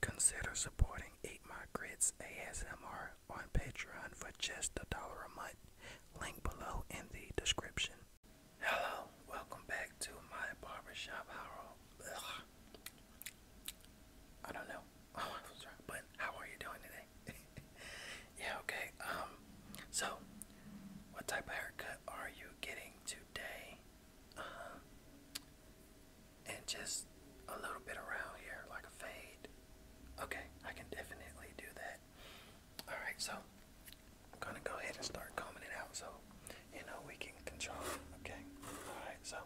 Consider supporting Eat My Grits ASMR on Patreon for just a dollar a month. Link below in the description. Hello, welcome back to my barbershop. I don't know oh, But how are you doing today? yeah, okay. Um, so what type of haircut are you getting today? Uh, and just a little bit around here, like a fade. Okay, I can definitely do that. All right, so I'm gonna go ahead and start combing it out so you know we can control Okay. All right. So,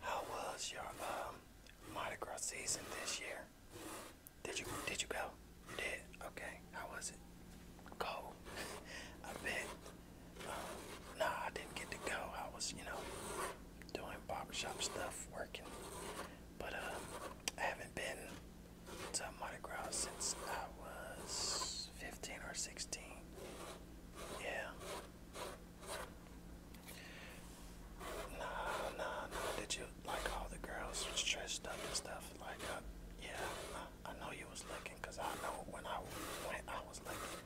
how was your um Mardi season this year. Did you did you go? You did? Okay. How was it? Cold. I bit. Um, nah, I didn't get to go. I was, you know, doing shop stuff, working. But um, I haven't been to Mardi since I was 15 or 16. Yeah. Nah, nah, nah. Did you like all the girls was dressed up and stuff? Like, uh, yeah, I, know you was looking, cause I know when I went, I was looking,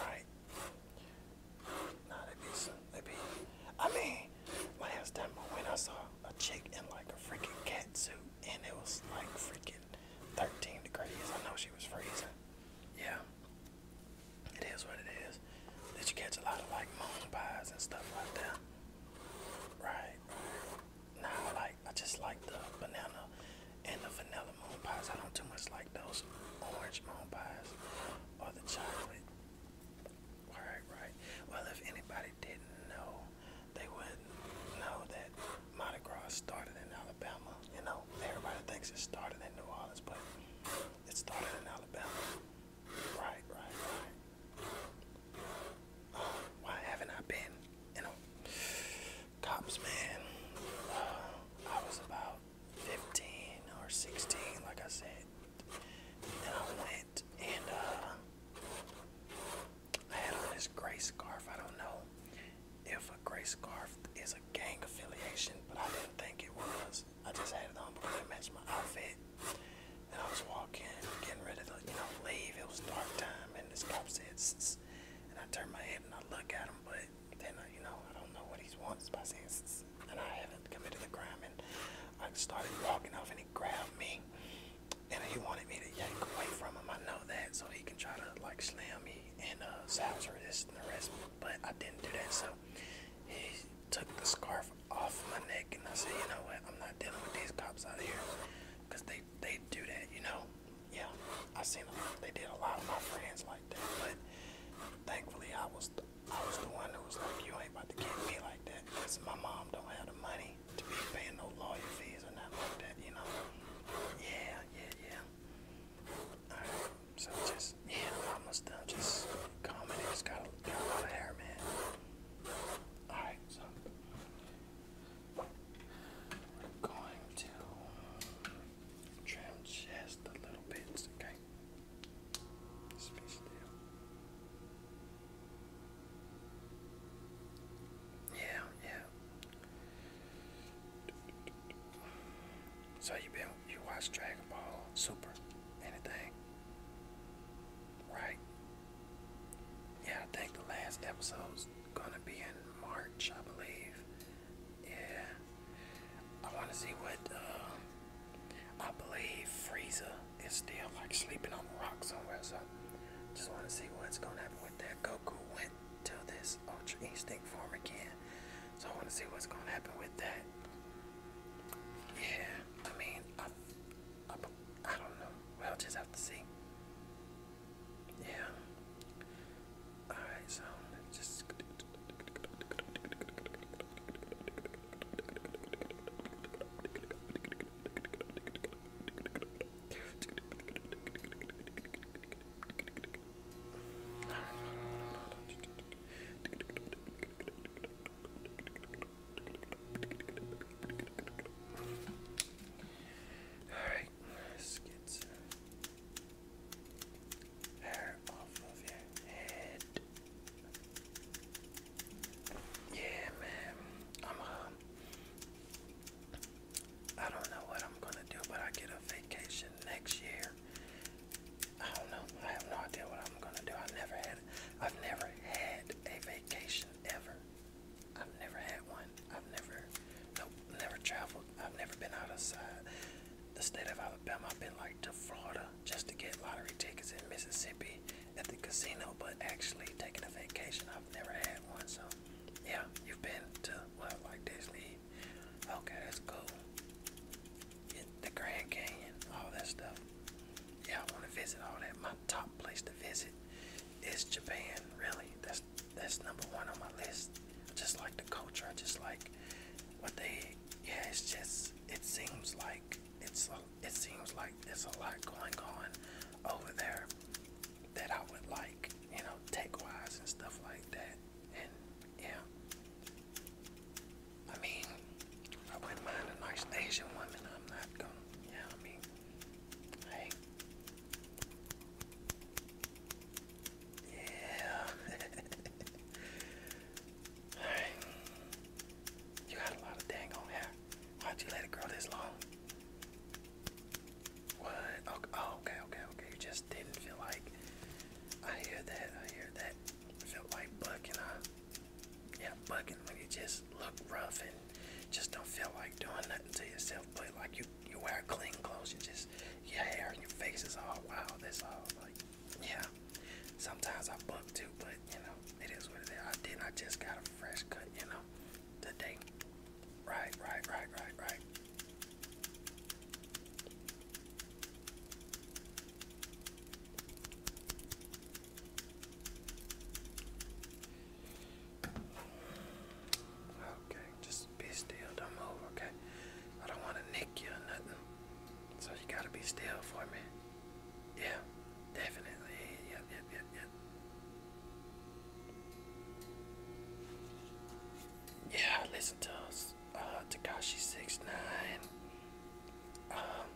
right? Nah, they be some, they be. I mean, last time I went, I saw a chick in like a freaking cat suit, and it was like freaking 13 degrees. I know she was freezing. Yeah. It is what it is. Did you catch a lot of like moon pies and stuff like that? Right. Now I like I just like the banana and the vanilla moon pies. I don't too much like those orange moon pies or the chocolate. Right, right. Well if anybody didn't know, they wouldn't know that Mardi Gras started in Alabama. You know, everybody thinks it started in New Orleans, but it started in Alabama. Right, right, why haven't I been in a cops, man? I was about 15 or 16, like I said. And I went and uh, I had on this gray scarf. I don't know if a gray scarf is gang affiliation, but I didn't think it was. I just had it on because it matched my outfit. And I was walking, getting ready to, you know, leave. It was dark time, and this cop said, and I turned my head and I look at him, but then, I, you know, I don't know what he wants by saying, and I haven't committed a crime. And I started walking off, and he grabbed me, and he wanted me to yank away from him. I know that, so he can try to, like, slam me in a uh, or resist and arrest me but I didn't do that. So he took the scarf off my neck, and I said, you know what? I'm not dealing with these cops out here, cause they they do that, you know. Yeah, I seen a lot. They did a lot of my friends like that, but thankfully I was th I was the one who was like, you ain't about to get me like that, cause my mom don't have the money to be paying no lawyer fees or nothing like that, you know. Yeah, yeah, yeah. Alright, so just, yeah, I'm almost done. Just calm It's got a, got a lot of hair, man. Alright, so we're going to trim just the little bits, okay? Yeah, yeah. So you been you watch Dragon Ball Super? Anything? Right? Yeah, I think the last episode's gonna be in March, I believe. Yeah. I wanna see what uh I believe Frieza is still like sleeping on the rock somewhere, so just wanna see what's gonna happen with that. Goku went to this Ultra Instinct form again. So I want to see what's going to happen with that. Yeah, I mean, I, I, I don't know. We'll just have to see. Yeah. Alright, so let's just. Alright, let's get some hair off of your head. Yeah, man. I'm a um, I don't know what I'm gonna do, but I get a vacation next year. I don't know. I have no idea what I'm gonna do. I never had. I've never had a vacation ever. I've never had one. I've never. Nope. Never traveled. I've never been outside the state of Alabama. I've been like to Florida just to get lottery tickets in Mississippi at the casino, but actually taking a vacation, I've never had one. So, yeah, you've been to well, like Disney Okay, that's cool. It, the Grand Canyon, all that stuff. Yeah, I want to visit all that. My top place to visit is Japan. Really, that's that's number one on my list. I just like the culture. I just like what they. Yeah, it's just. It seems like it's. A, it seems like there's a lot going on over there that I would like, you know, tech wise and stuff like that. And yeah, I mean, I wouldn't mind a nice Asian woman. I'm not gonna, yeah, I mean, hey, yeah. Hey, you got a lot of dang on hair. Why'd you let it grow this long? What? Oh, okay, okay, okay. You just didn't feel like. I hear that. I hear that. I felt like bucking, huh? Yeah, bucking when you just look rough and just don't feel like doing nothing to yourself. But like you, you wear clean clothes. You just your hair and your face is all wild. That's all. Like, yeah. Sometimes I buck too, but you know it is what it is. I did. I just got a fresh cut, you know, today. Right, right, right, right, right. Okay, just be still, don't move, okay? I don't want to nick you or nothing. So you gotta be still for me. Yeah, definitely. Yep, yep, yep, yep. Yeah, listen to us, uh, Takashi Six Nine. Um,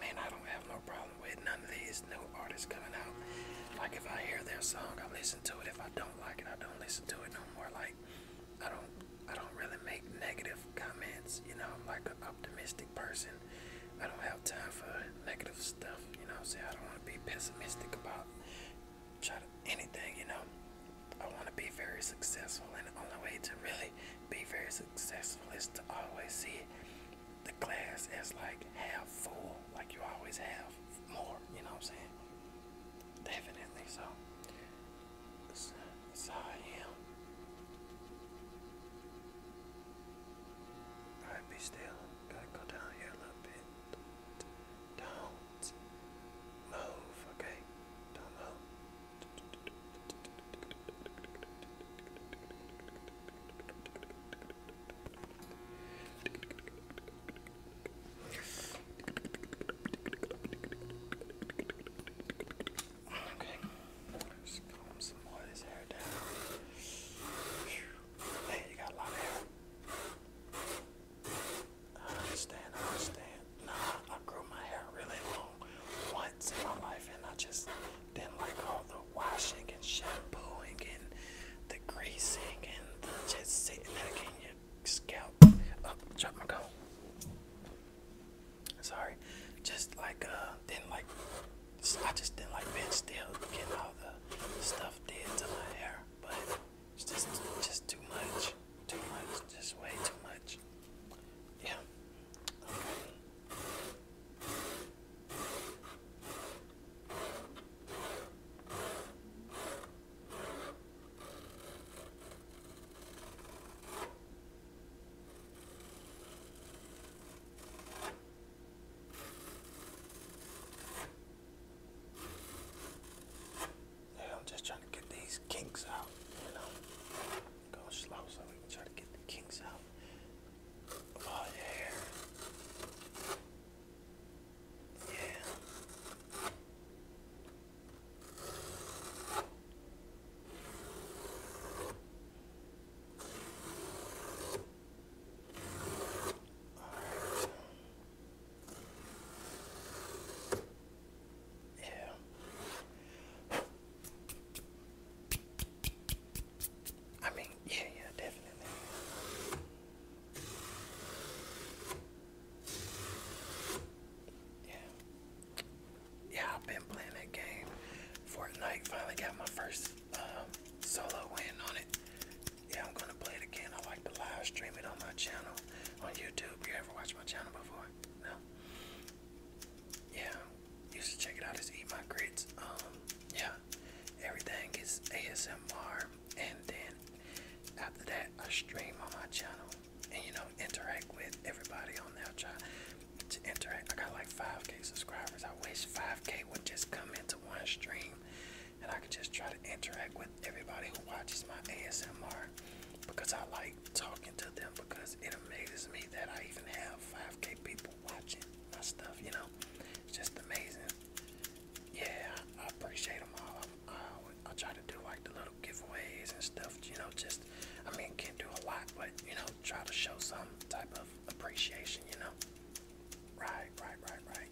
I I don't have no problem with none of these new artists coming out. Like if I hear their song, I listen to it. If I don't like it, I don't listen to it no more. Like I don't, I don't really make negative comments. You know, I'm like an optimistic person. I don't have time for negative stuff, you know what I'm saying? I don't want to be pessimistic about try to, anything, you know. I want to be very successful, and the only way to really be very successful is to always see the glass as like half full, like you always have more, you know what I'm saying? Definitely, so that's, that's how I am. Alright, be still. Gotta go down here a little bit don't move, okay? Don't move. Okay, just calm some more of this hair down. Hey, you got a lot of hair. I understand, I understand. Nah, I grew my hair really long once in my life and I just didn't like all the washing and shampooing and the greasing and the just sitting there getting your scalp up. Oh, drop my coat. Sorry. Just like, uh, didn't like I just didn't like Ben Still getting all the stuff did to my hair, but it's just just too much, too much, just way too much. Yeah. Yeah, I'm just trying to get these kinks out, Go slow so we can try to get the kinks out of all your hair. Yeah. Yeah. I mean, yeah, yeah, definitely. Yeah. Yeah, I've been playing that game. Fortnite finally got my first um, solo win on it. Yeah, I'm gonna play it again. I like to live stream it on my channel on YouTube. You ever watched my channel before? No. Yeah, you should check it out. It's Eat My Grits. Um, yeah, everything is ASMR, and then after that, I stream on my channel and you know interact with everybody on there. Try to interact. I got like 5k subscribers. I wish 5k would just come into one stream and I could just try to interact with everybody who watches my ASMR because I like talking to them because it amazes me that I even have 5k people watching my stuff, you know? It's just amazing. Yeah, I appreciate them all. I, I, I try to do like the little giveaways and stuff, you know, just, I mean, can't do a lot, but, you know, try to show some type of appreciation, you know? Right, right, right, right.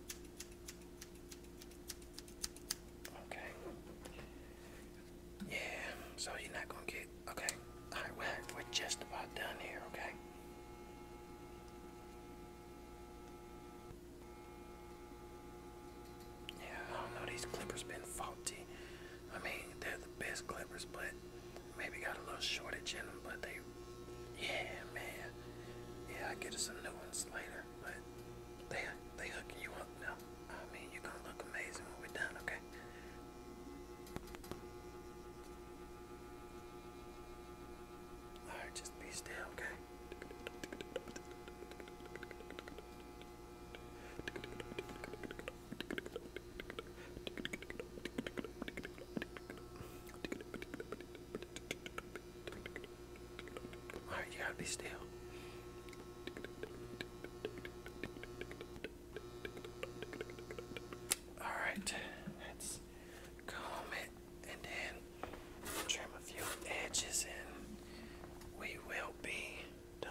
Okay. Yeah, so you're not gonna get okay. Alright, well we're just about done here, okay? Yeah, I don't know, these clippers been faulty. I mean, they're the best clippers, but maybe got a little shortage in them, but they, yeah, man, yeah, I get us some new ones later, but they they hooking you up now. I mean, you're gonna look amazing when we're done, okay? All right, just be still, okay? Alright, you gotta be still. Alright, let's comb it and then trim a few edges and we will be done.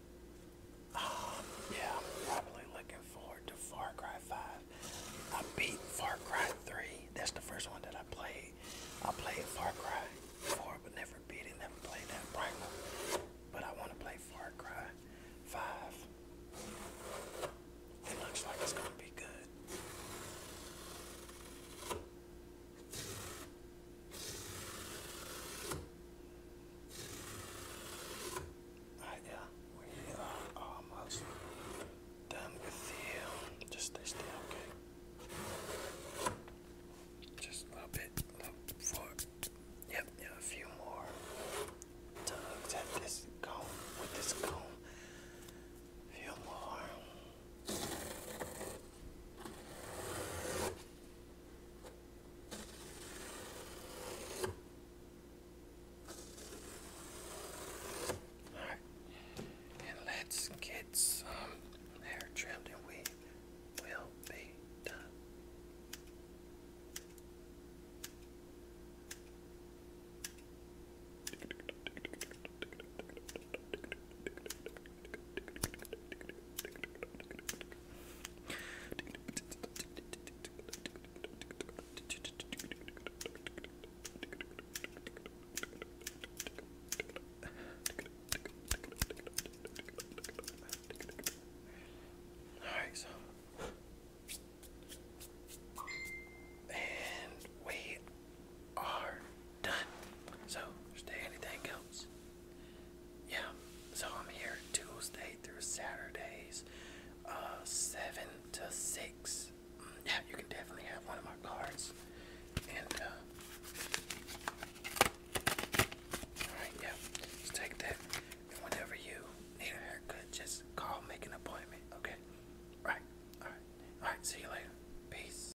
Um, yeah, I'm probably looking forward to Far Cry 5. I beat Far Cry 3. That's the first one that I played. I played Far Cry 4, but never beat it. Never played that primal. But I want to play Far Cry 5. It looks like it's going to be good. Alright, yeah, we are almost done with the just stay still, okay? Just a bit, Yep, a few more tugs at this comb with this comb. few more. All right. And let's get some hair trimmed and we will be done. Alright, so. And we are done. So, is anything else? Yeah, so I'm here Tuesday through Saturdays, uh, 7 to 6. Mm, yeah, you can definitely have one of my cards. And, uh, yeah, just take that. And whenever you need a haircut, just call, make an appointment, okay? All right, alright, alright, see you later. Peace.